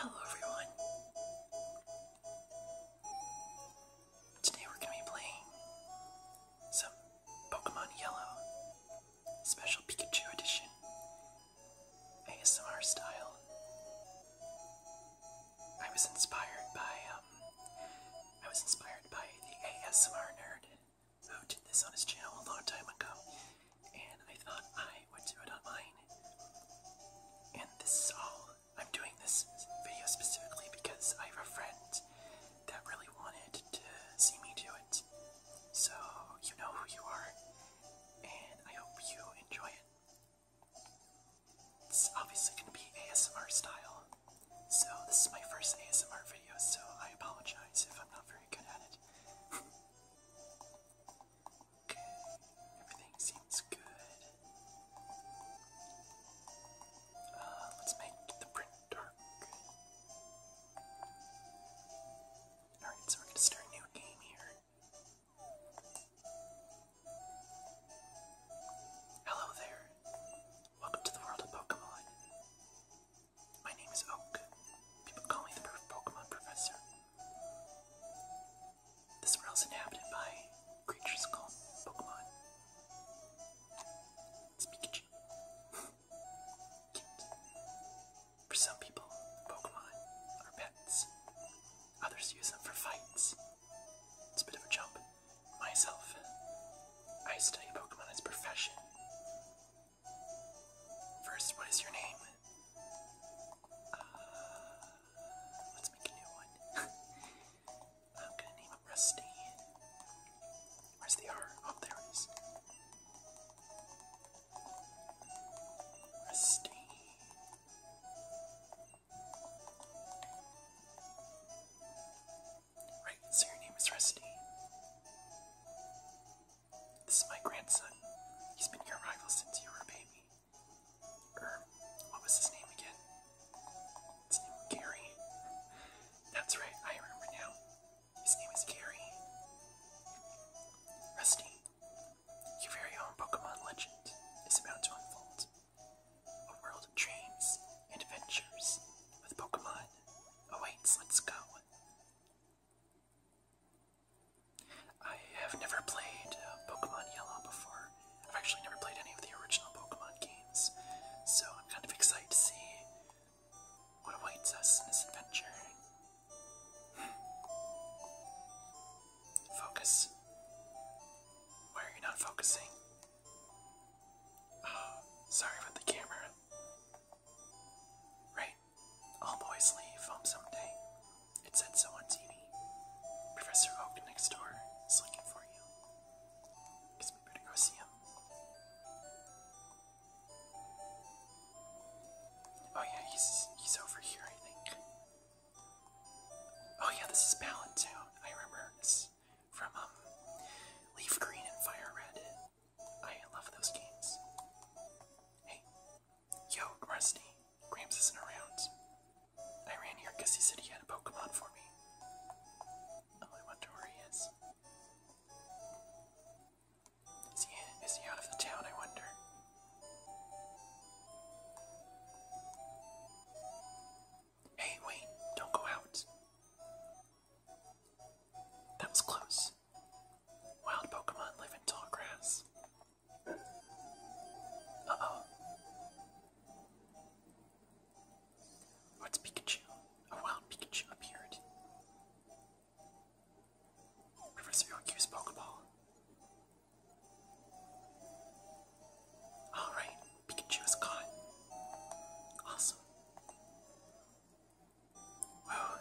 Hello everyone. Today we're going to be playing some Pokemon Yellow Special Pikachu Edition ASMR style. I was inspired by um I was inspired by the ASMR nerd who did this on his channel a long time ago, and I thought I would do it on mine. And this is all. I'm doing this video specifically because I have a friend that really wanted to see me do it. So, you know who you are, and I hope you enjoy it. It's obviously going to be ASMR style. So this is my first ASMR video, so I apologize if I'm not very good at it. okay, everything seems good. Uh, let's make the print dark. Alright, so we're gonna start a new game here. Hello there. Welcome to the world of Pokemon. My name is Oak. People call me the Pokemon Professor. This world is inhabited by creatures called Pokemon. Pikachu. For some people, Pokemon are pets. Others use them for fights. It's a bit of a jump. Myself, I study Pokemon as a profession. First, what is your name? Uh, let's make a new one. I'm gonna name him Rusty. Where's the R? Oh, there it is. Rusty. Right, so your name is Rusty. This is my grandson. He's been your rival since you were a baby. Er, what was his name again? His name was Gary. That's right, I remember now. His name is Gary. Rusty, your very own Pokemon legend is about to unfold. A dreams and adventures with Pokemon awaits. Let's go. I have never played uh, Pokemon Yellow before. I've actually never played any of the original Pokemon games, so I'm kind of excited to see what awaits us in this adventure. Hmm. Focus. Why are you not focusing? sorry about the camera. Right. All boys leave home someday. It said so on TV. Professor Oak next door is looking for you. Guess we better go see him. Oh yeah, he's he's over here, I think. Oh yeah, this is Palin I remember this from um, Leaf Green and Fire Red. I love those games. Hey, yo, Rusty. Grams isn't around. I ran here because he said he had a Pokemon for me. Oh, I wonder where he is. Is he, is he out of the town, I wonder? Hey, Wayne, don't go out. That was close. Wild Pokemon live in tall grass. Uh oh. What's Pikachu? A wild Pikachu appeared. Professor Yokyu's Pokeball. Alright, Pikachu is caught. Awesome. Wow.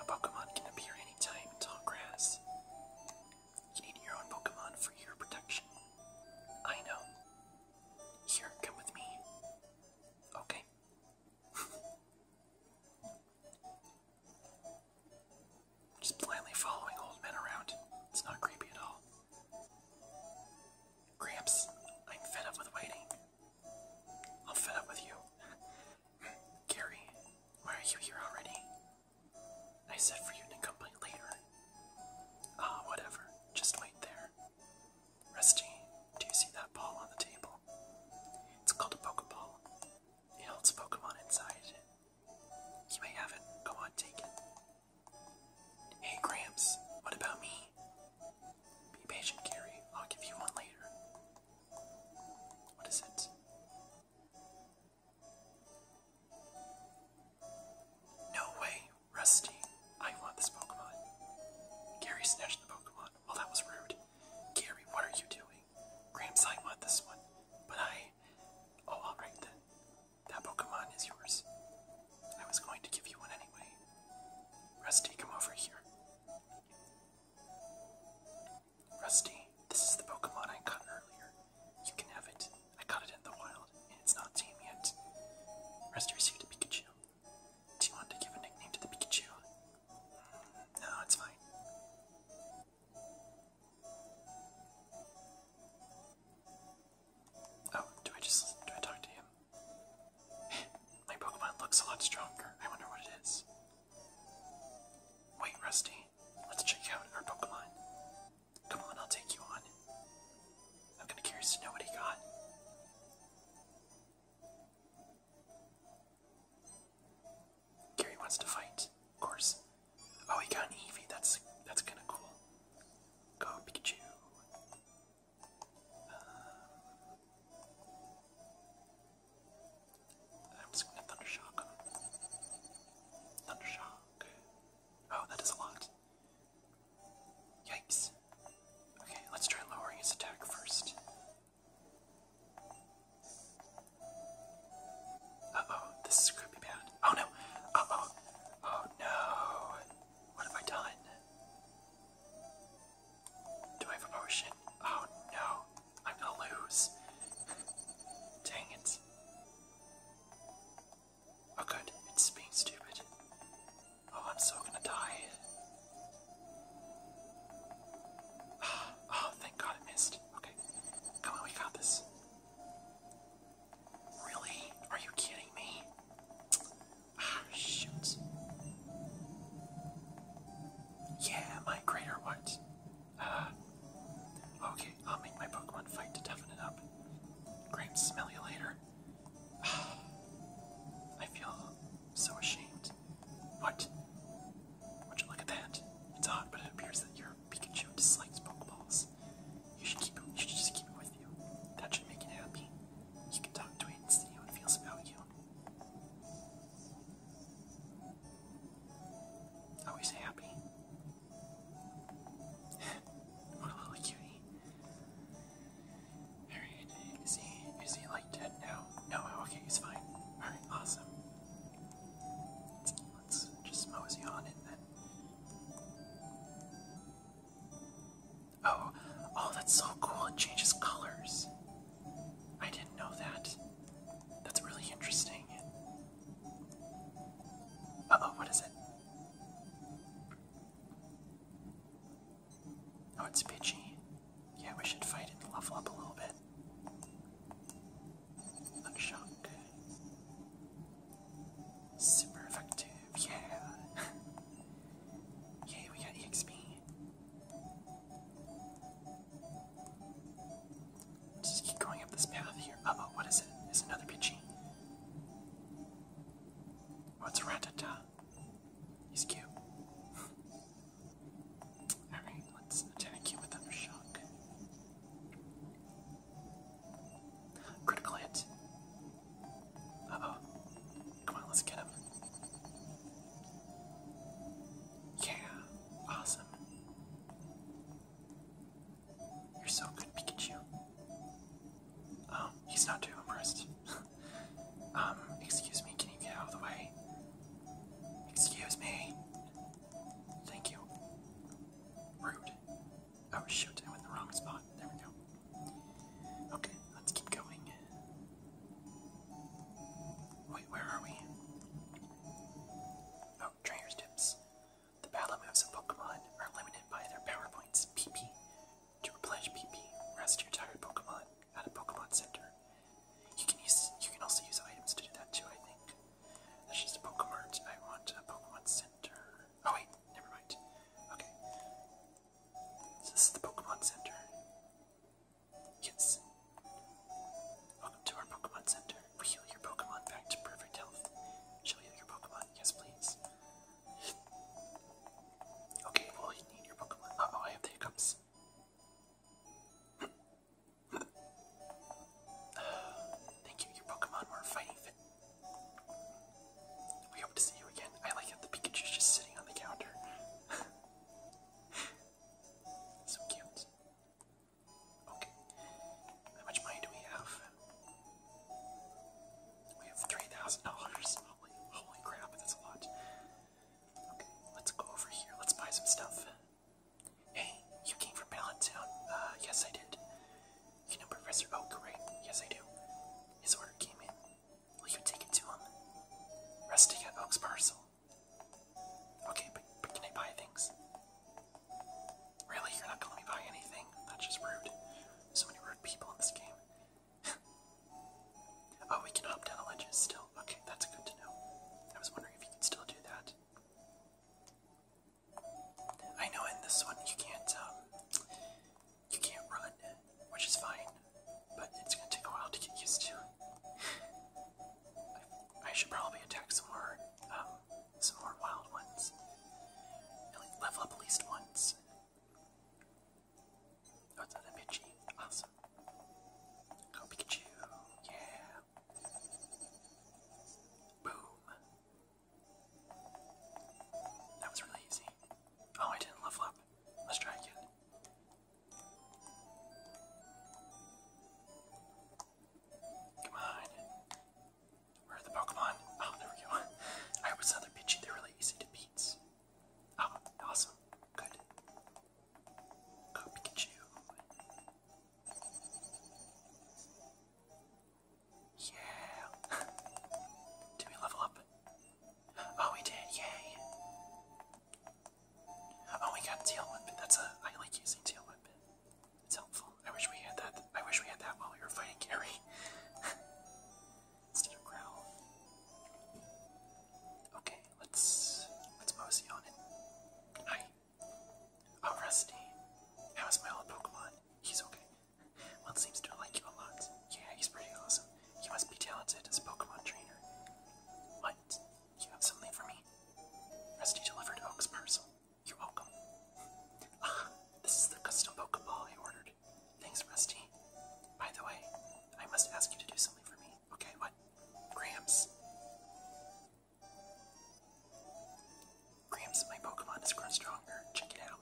A Pokemon can appear anytime in tall grass. You need your own Pokemon for your protection. I know. Here, come with me. Okay. Just blindly following old men around. It's not creepy at all. Gramps, I'm fed up with waiting. I'm fed up with you. Gary, why are you here already? I said for you to come by later. Ah, whatever. Just wait there. Rusty, do you see that ball on the table? It's called a Pokeball. It holds Pokemon inside. You may have it. Go on, take it. Hey, Gramps, what about me? Be patient, Gary. I'll give you one later. What is it? No way, Rusty. I want this Pokemon. Gary snatched the Pokemon. Well, that was rude. Gary, what are you doing? Gramps, I want this one. But I. Oh, alright then. That Pokemon is yours. I was going to give you one anyway. Rusty, come over here. Rusty, this is the Pokemon I caught earlier. You can have it. I caught it in the wild, and it's not tame yet. Rusty received a Pikachu. Do you want to give a nickname to the Pikachu? Mm, no, it's fine. Oh, do I just do I talk to him? My Pokemon looks a lot stronger. I wonder what it is. Wait, Rusty. Let's check out our Pokemon. Come on, I'll take you on. I'm kinda curious to know what he got. Gary wants to fight, of course. Oh, he got an Eevee. That's that's kind of cool. Go Pikachu. Uh, I'm gonna Thunder Shock Thunder Shock. Oh, that is a lot. Yikes. Okay, let's try lowering his attack first. Uh oh, this is be bad. Oh no! Uh, oh, oh no! What have I done? Do I have a potion? Oh no! I'm gonna lose. Dang it. Oh good, it's being stupid. Oh, I'm so gonna die. Oh, thank god I missed. Okay. Come on, we got this. Really? Are you kidding me? Ah, shoot. Yeah, my greater what? Uh, okay, I'll make my Pokemon fight to toughen it up. Great, smell you later. I feel so ashamed. What? Would you look at that? It's odd, but it appears that your Pikachu dislikes Pokeballs. You should keep it, you should just keep it with you. That should make it happy. You can talk to it and see how it feels about you. Always happy. what a little cutie. is he is he like dead now? No, okay, he's fine. Alright, awesome. Let's just mosey on it then. Oh, oh, that's so cool. It changes colors. I didn't know that. That's really interesting. Uh oh, what is it? Oh, it's Pidgey. Yeah, we should fight it and level up a little bit. Luck Super effective, yeah. Yay, we got EXP. Just keep going up this path here. oh, what is it? It's another Pidgey. What's oh, it's He's cute. Alright, let's attack you with another shock. Critical hit. oh. Come on, let's get him. Yeah, awesome. You're so good, Pikachu. Um, he's not too impressed. um, excuse me, can you get out of the way? Excuse me. Thank you. Rude. Oh, I was shooting went in the wrong spot. There we go. Okay, let's keep going. Wait, where are we? Oh, trainer's tips. The battle moves of Pokemon are limited by their power points, PP. To replenish PP, rest your tired Pokemon at a Pokemon Center. You can use you can also use items to do that too, I think. That's just a Pokemart. I want a Pokemon Center. Oh wait, never mind. Okay. this is the Pokemon Center. Yes. Welcome to our Pokemon Center. heal your Pokemon back to perfect health. Shall we your Pokemon? Yes, please. Okay, well, you need your Pokemon. oh, I have the hiccups. Thank you, your Pokemon were fighting fit. We hope to see you again. I like how the Pikachu's just sitting on the counter. so cute. Okay. How much money do we have? We have three thousand dollars. Holy, holy crap! That's a lot. Okay, let's go over here. Let's buy some stuff. Hey, you came from Palatine. Uh, yes, I did. You know Professor Oak, right? Yes, I do. His order came in. Will you take it to him? Um, Resting at Oak's parcel. Okay, but can I buy things? Really? You're not gonna let me buy anything? That's just rude. So many rude people in this game. oh, we can hop down the ledges still. Okay, that's good to know. I was wondering if you could still do that. I know in this one you can't um you can't run, which is fine, but it's gonna take a while to get used to. I, I should probably attack some more um some more wild ones. Level up at least once. Oh, Pidgey. Awesome. Go Pikachu. Yeah. Boom. That was really easy. Oh, I didn't level up. Let's try again. Come on. Where are the Pokemon? Oh, there we go. I was another Pidgey. They're really easy to beat. Oh, awesome. Good. Go Pikachu. Yeah. Did we level up? Oh, we did. Yay. Oh, we got tail weapon. That's a. I like using tail weapon. It's helpful. I wish we had that. I wish we had that while we were fighting Gary. Instead of growl. Okay, let's let's mosey on it. Hi. Oh, Rusty. How is my old Pokemon? He's okay. Well, seems to like you a lot. Yeah, he's pretty awesome. You must be talented as a Pokemon trainer. What? You have something for me? Rusty delivered Oak's parcel. You're welcome. Ah, this is the custom Pokeball I ordered. Thanks, Rusty. By the way, I must ask you to do something for me. Okay, what? Gramps. Gramps, my Pokemon has grown stronger. Check it out.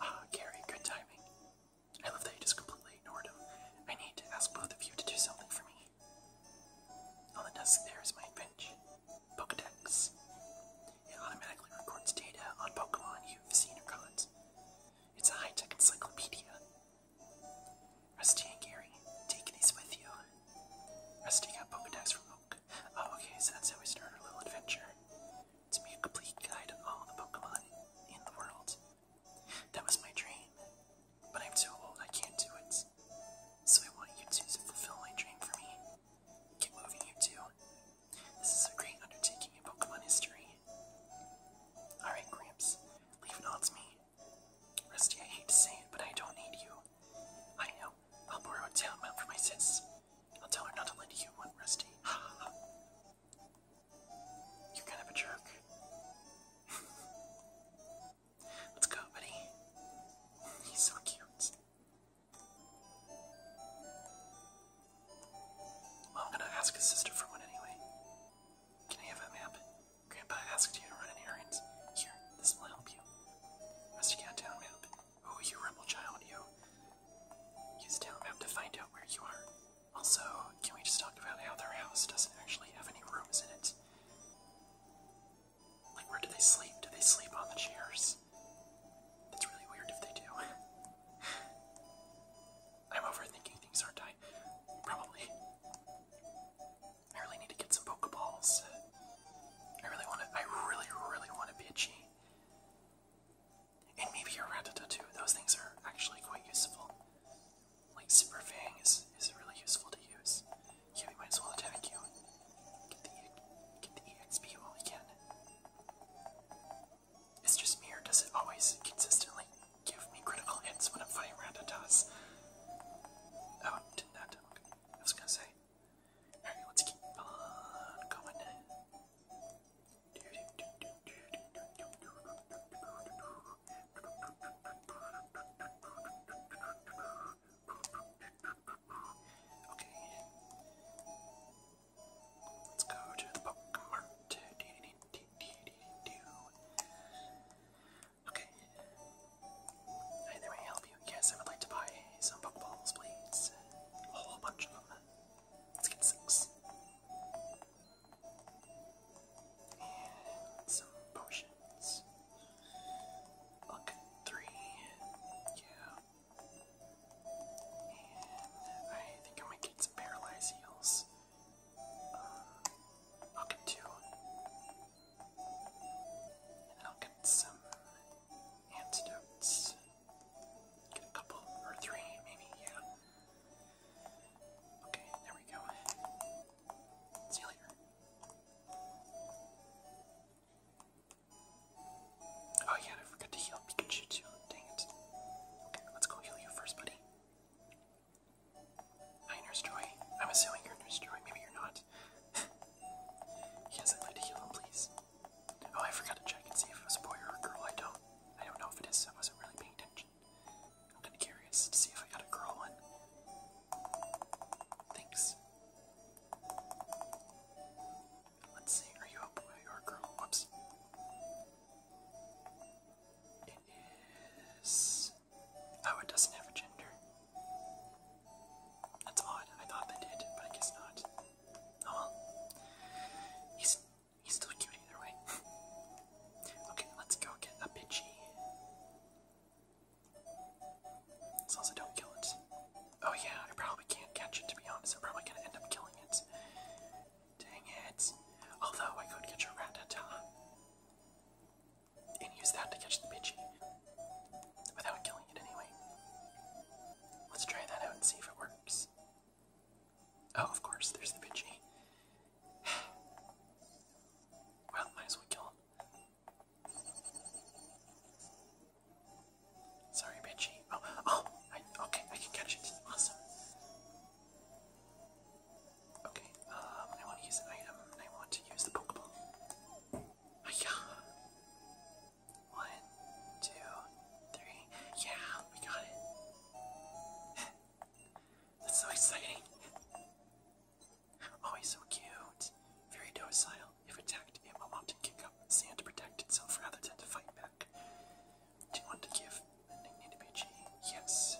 Ah, Gary, good timing. I love that you just completely ignored him. I need to ask both of you to do something for me. On the desk there is my bench. Pokedex. It automatically records data on Pokemon you've seen or caught. It's a high-tech encyclopedia. Rusty and Gary, take these with you. Rusty got Pokedex from Oak. Oh, okay, so that's how we start our little adventure. To be a complete guide of all the Pokemon in the world. That was my dream, but I'm too old, I can't do it. So I want you two to fulfill my dream for me. Get moving, you two. This is a great undertaking in Pokemon history. Alright, Gramps, leave it all to me. Rusty, I hate to say it, but I don't need you. I know. I'll borrow a map from my sis. I'll tell her not to lend you one, Rusty. You're kind of a jerk. Let's go, buddy. He's so cute. I'm gonna ask his sister for one anyway. Can I have a map? Grandpa asked you to run an Here, this will help you. Mr. Cat countdown Map. Oh, you rebel child, you. Use Town Map to find out where you are. Also, can we just talk about how their house doesn't actually have any rooms in it? Like, where do they sleep? Do they sleep on the chairs? That's really weird if they do. I'm overthinking things, aren't I? Probably. I really need to get some Pokeballs. I really want to. I really, really want to be Pidgey. And maybe a Rattata too. Those things are actually quite useful. Like Super Fang is, is really useful to use. Yeah, might as well attack you. Get the, get the EXP while we can. It's just me, or does it always consistently give me critical hits when I'm fighting Rattatas? Oh, did that I was gonna say. let's keep on going. Let's go to the book mart. Okay. Hi there, I help you? Yes, I would like to buy some Pokeballs, please. A whole bunch of them. Let's get six. And some potions. Look, three. Yeah. And I think I might get some paralyzed heals. Um, two. I'll get some antidotes. Get a couple, or three, maybe, yeah. Okay, there we go. See you later. Oh yeah, I forgot to heal Pikachu too. Dang it. Okay, let's go heal you first, buddy. Hi, Nurse Joy. I'm assuming you're Nurse Joy. Maybe you're not. yes, I'd like to heal him, please. Oh, I forgot to check and see if it was a boy or a girl. I don't. I don't know if it is. I wasn't really paying attention. I'm kind of curious to see if I got a girl one. Thanks. Let's see. Are you a boy or a girl? Whoops. It is Oh, it doesn't have a gender. That's odd. I thought they did, but I guess not. Oh well. He's he's still cute either way. okay, let's go get a Pidgey. As long as don't kill it. Oh yeah, I probably can't catch it to be honest. I'm probably gonna end up killing it. Dang it. Although I could catch a Rattata and use that to catch the Pidgey without killing it anyway. Let's try that out and see if it works. Oh, of course, there's the Pidgey. well, might as well kill him. Sorry, Pidgey. Oh, oh, okay, I can catch it. Awesome. Okay, um, I want to use an item, um, I want to use the Pokeball. Hiya! One, two, three. Yeah, we got it. That's so exciting. Oh, he's so cute. Very docile. If attacked, it will often kick up sand to protect itself rather than to fight back. Do you want to give the nickname to Pidgey? Yes.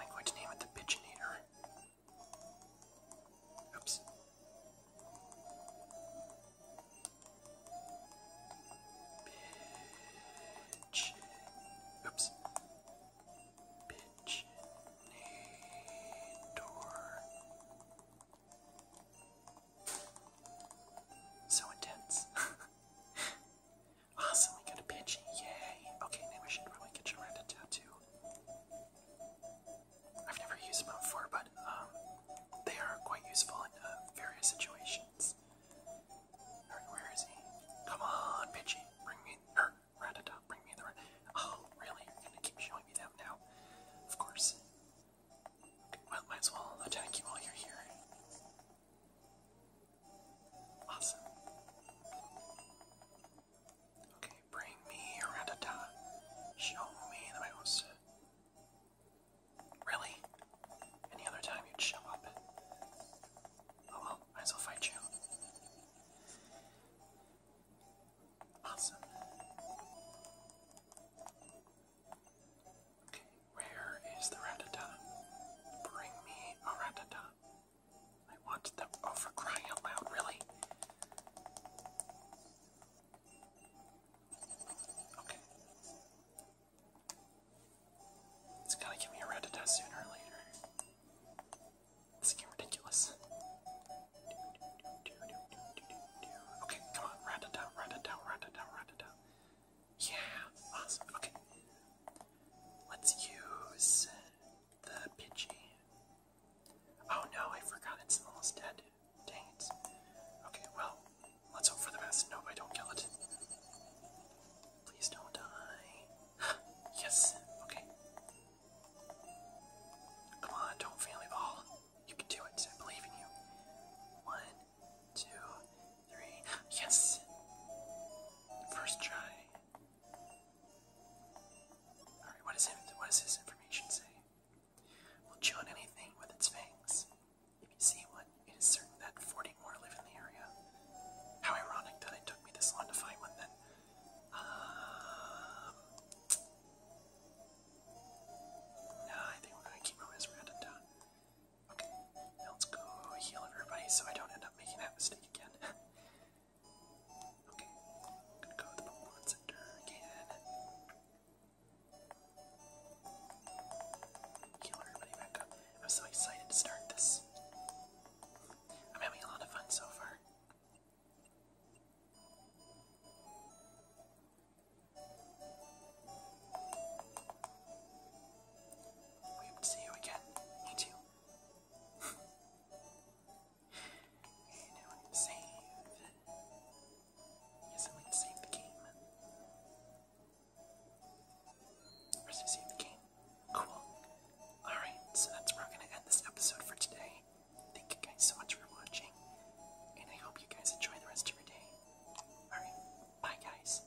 I'm going to name it the Pidgeinator. Oops. Bitch. Oops. Bitch. Door. So intense. Awesome, we got a pitch. Yay! Okay, now I should probably get around a tattoo. I've never used them before, but um, they are quite useful in uh, various situations. where is he? Come on, Pidgey! Bring me, er, Rattata, bring me the Oh, really? You're gonna keep showing me that now? Of course. might as well attack you while you're here. Awesome. Okay, bring me Ratata. Show me the mouse. Really? Any other time you'd show up? Oh well, might as fight you. Awesome. Okay, where is the Ratata? Bring me a Ratata. I want them over crying out loud, really. Okay. It's gonna give me a Rattata sooner or later. This is getting ridiculous. Okay, come on, Rattata, Rattata, Rattata, Rattata. Yeah, awesome, okay. Let's use the pitchy. Oh no, I forgot it's almost dead. Dang it. Okay, well, let's hope for the best. No, I don't kill it. Please don't die. yes, okay. Come on, don't family ball. You can do it. I believe in you. One, two, three. Yes! First try. Alright, what, does his information say? Will chew on anything with its fangs. If you see one, it is certain that 40 more live in the area. How ironic that it took me this long to find one then. Um, no, I think we're gonna keep moving as we Okay, now let's go heal everybody so I don't end up making that mistake again. okay, I'm gonna go with the Pokemon Center again. Heal everybody back up. I'm so excited to start this. I'm having a lot of fun so far. We hope to see you again. Me too and I would save. Yes, I would save the game. First, I save the game. Cool. Alright, so that's where we're going to end this episode for today. Thank you guys so much for watching, and I hope you guys enjoy the rest of your day. Alright, bye guys.